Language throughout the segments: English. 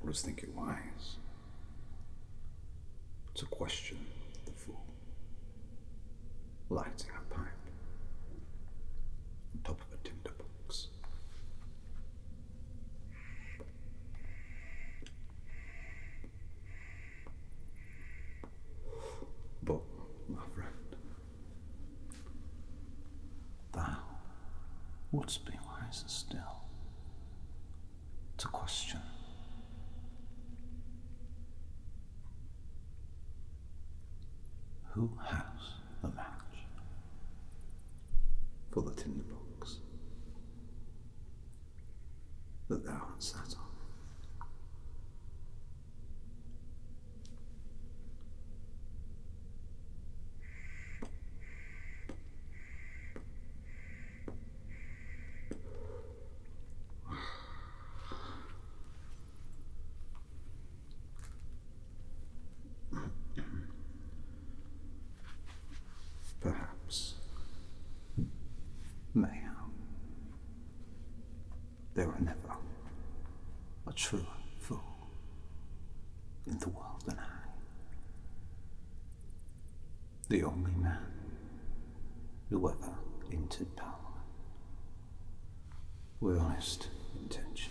Or does think you're wise? To question the fool, lighting a pipe on top of a tinderbox. But, my friend, thou wouldst be wiser still to question. Who has the match for the tinder box that thou art sat on? Perhaps. Mayhap. There were never a truer fool in the world and I. The only man who ever entered Parliament with honest intention.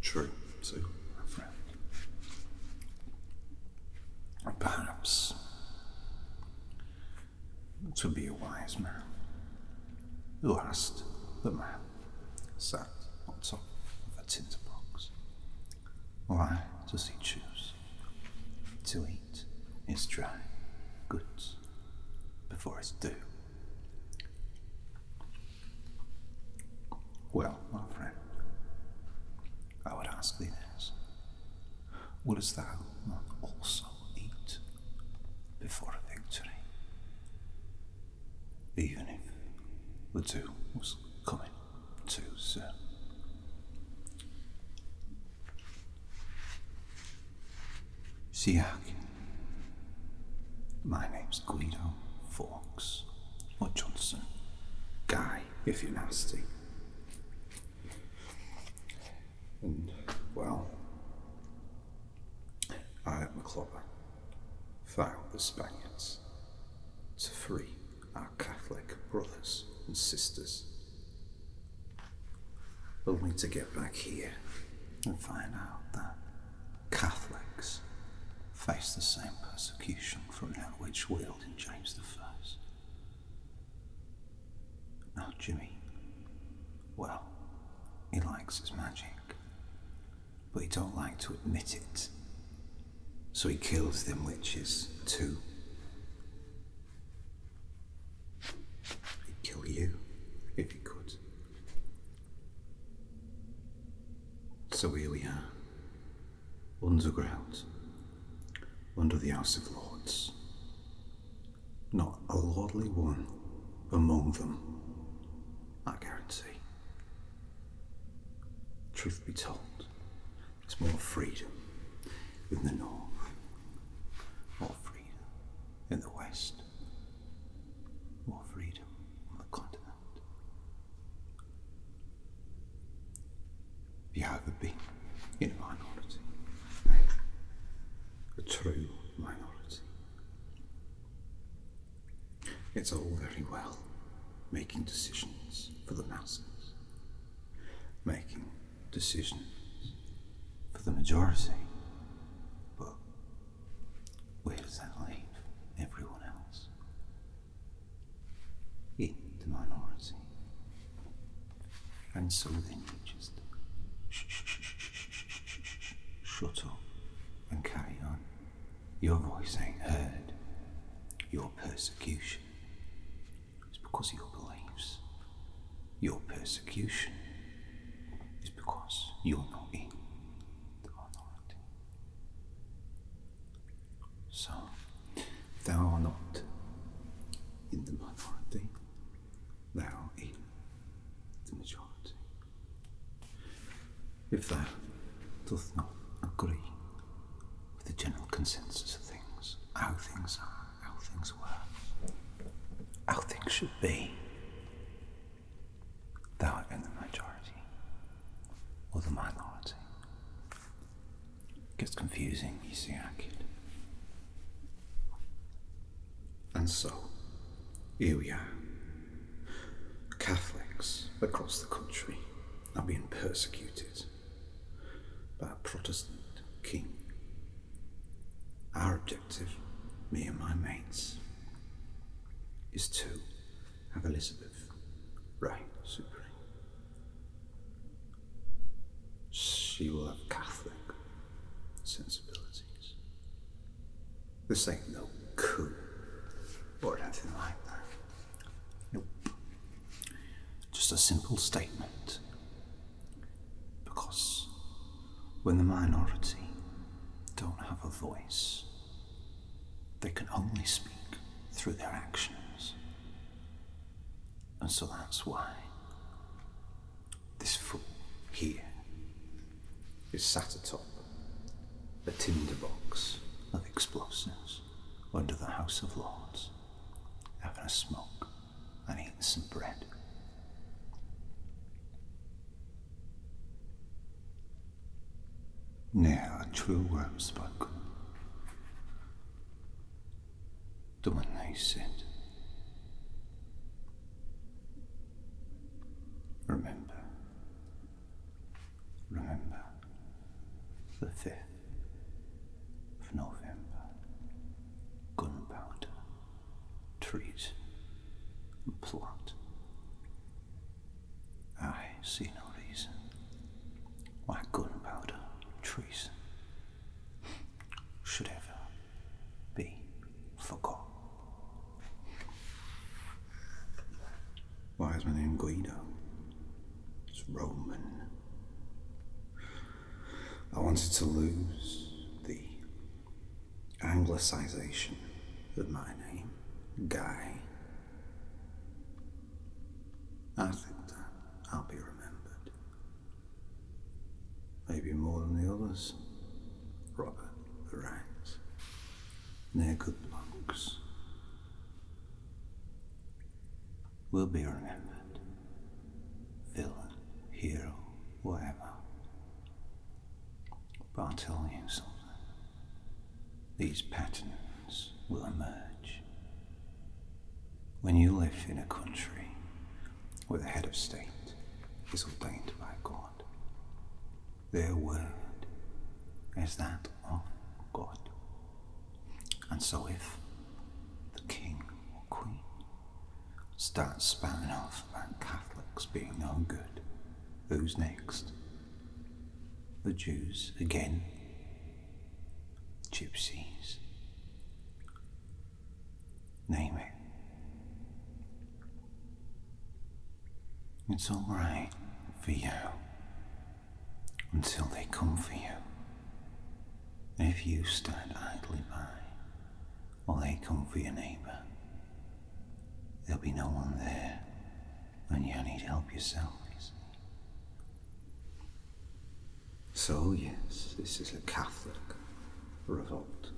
True. So, perhaps to be a wise man. who asked the man sat on top of a tinder box. Why does he choose to eat his dry goods before his due? Well, my friend, I would ask thee this. Wouldst thou not also eat before victory? Even if the doom was coming too soon. Siak. My name's Guido Fawkes. Or Johnson. Guy, if you're nasty. And, well, I at Maclopper found the Spaniards to free our Catholic brothers and sisters. Only to get back here and find out that Catholics face the same persecution from that which wielded James the First. Oh, Jimmy. Well, he likes his magic, but he don't like to admit it. So he kills them witches too. He'd kill you if he could. So here we are, underground, under the House of Lords, not a lordly one among them, I guarantee. Truth be told, it's more freedom in the north, more freedom in the west, more freedom on the continent. Have you ever been in a minority? a true minority. It's all very well making decisions for the masses, making decisions for the majority, but where does that leave everyone else? In the minority. And so then you just shut up and carry on. Your voice ain't heard. Your persecution is because of your beliefs. Your persecution is because you're not in the minority. So, thou art not in the minority thou in the majority. If thou doth not agree with the general consensus of things, how things are, how things were, how things should be, thou art in the majority or the minority. gets confusing, you see, I kid. And so, here we are. Catholics across the country are being persecuted by a Protestant king. Our objective, me and my mates, is to have Elizabeth reign supreme. She will have Catholic sensibilities. This ain't no coup or anything like that. Nope. Just a simple statement. Because when the minority don't have a voice, they can only speak through their actions. And so that's why this fool here is sat atop a tinderbox of explosives under the House of Lords, having a smoke and eating some bread. Ne'er a true word spoken. The one they said Remember, remember the 5th of November, gunpowder, trees, and plot. I see no reason why gunpowder, trees should ever be forgotten. Why is my name Guido? It's Roman. I wanted to lose the anglicization of my name, Guy. I think that I'll be remembered Maybe more than the others. Robert, the Rangs. They're good blokes. Will be remembered. Villain, hero, whatever. But I'll tell you something. These patterns will emerge. When you live in a country where the head of state is ordained by God. Their word is that of God. And so if the king or queen starts spouting off about Catholics being no good, who's next? The Jews again, gypsies, Name it. It's alright for you until they come for you. If you stand idly by while they come for your neighbour, there'll be no one there when you need help yourself. So, yes, this is a Catholic revolt.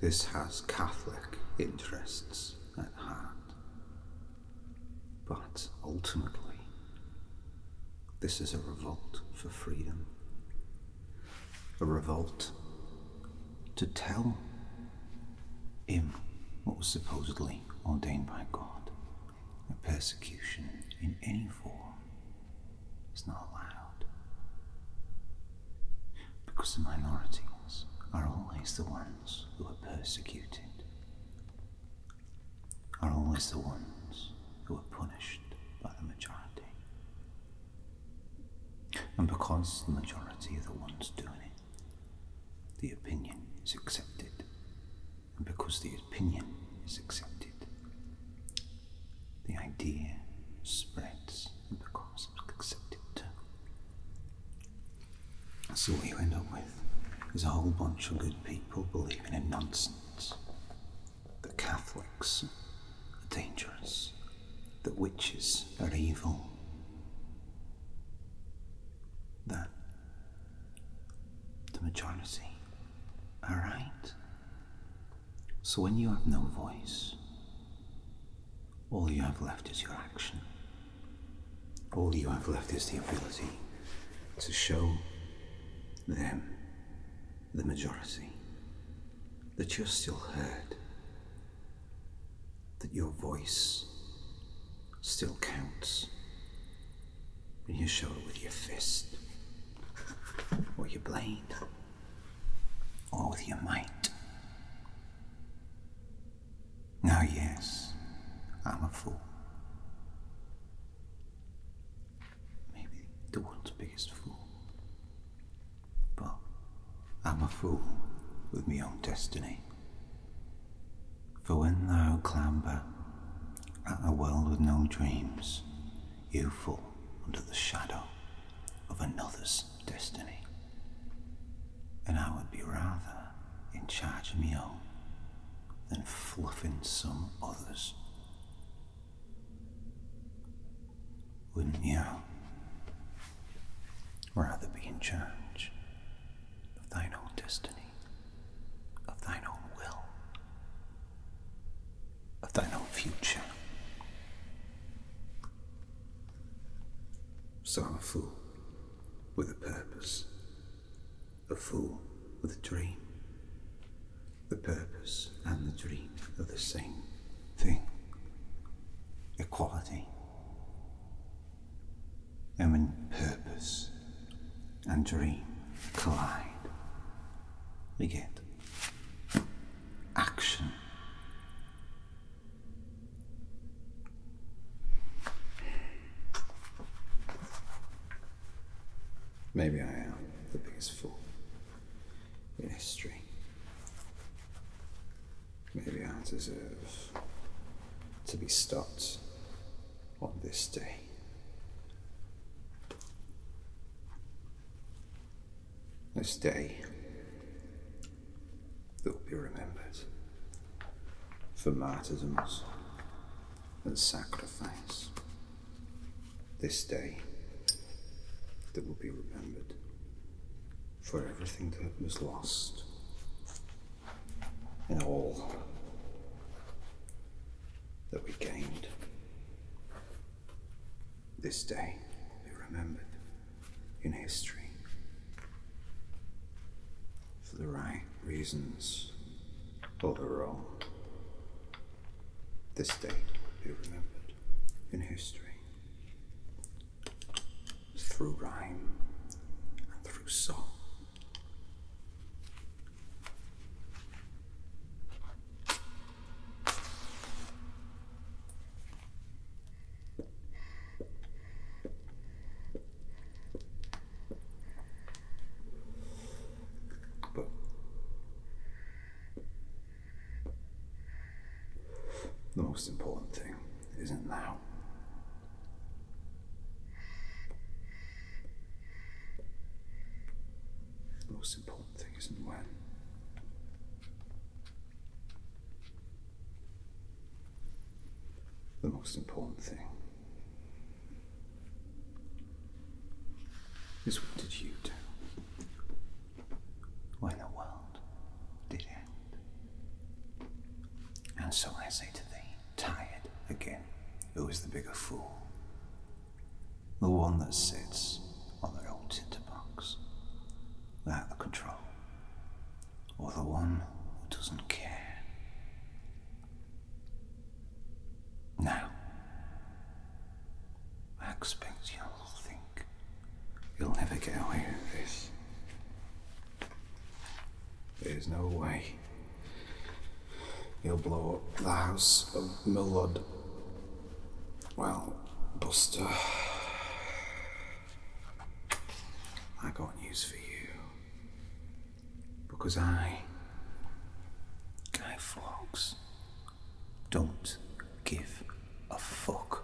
This has Catholic interests at heart. But ultimately, this is a revolt for freedom, a revolt to tell him what was supposedly ordained by God, that persecution in any form it's not allowed. Because the minorities are always the ones who are persecuted, are always the ones who are punished by the majority. And because the majority are the ones doing it, the opinion is accepted. And because the opinion is accepted, the idea spreads and becomes accepted too. So what you end up with is a whole bunch of good people believing in nonsense. The Catholics are dangerous. The witches are evil. That the majority are right. So when you have no voice, all you have left is your action. All you have left is the ability to show them, the majority, that you're still heard, that your voice still counts, when you show it with your fist. With your blade, or with your might. Now, yes, I'm a fool. Maybe the world's biggest fool. But I'm a fool with my own destiny. For when thou clamber at a world with no dreams, you fall under the shadow of another's destiny. And I would be rather in charge of my own than fluffing some others. Wouldn't you rather be in charge of thine own destiny, of thine own will? of thine own future. So a fool with a purpose, a fool with a dream. The purpose and the dream are the same thing equality. And when purpose and dream collide, we get action. Maybe I am the biggest fool in history. Maybe I deserve to be stopped on this day. This day that will be remembered for martyrdoms and sacrifice. This day that will be remembered for everything that was lost and all that we gained this day will be remembered in history for the right reasons or the wrong. This day will be remembered in history through rhyme and through song. But the most important thing isn't now. most important the most important thing is what did you do when the world did end? And so I say to thee, tired again, who is the bigger fool? The one that sits on the old tinderbox without the control. Or the one who doesn't care. Now, I expect you'll think you'll never get away with this. There's no way. He'll blow up the house of Milord well, Buster, I got news for you. Because I, Guy Fawkes, don't give a fuck.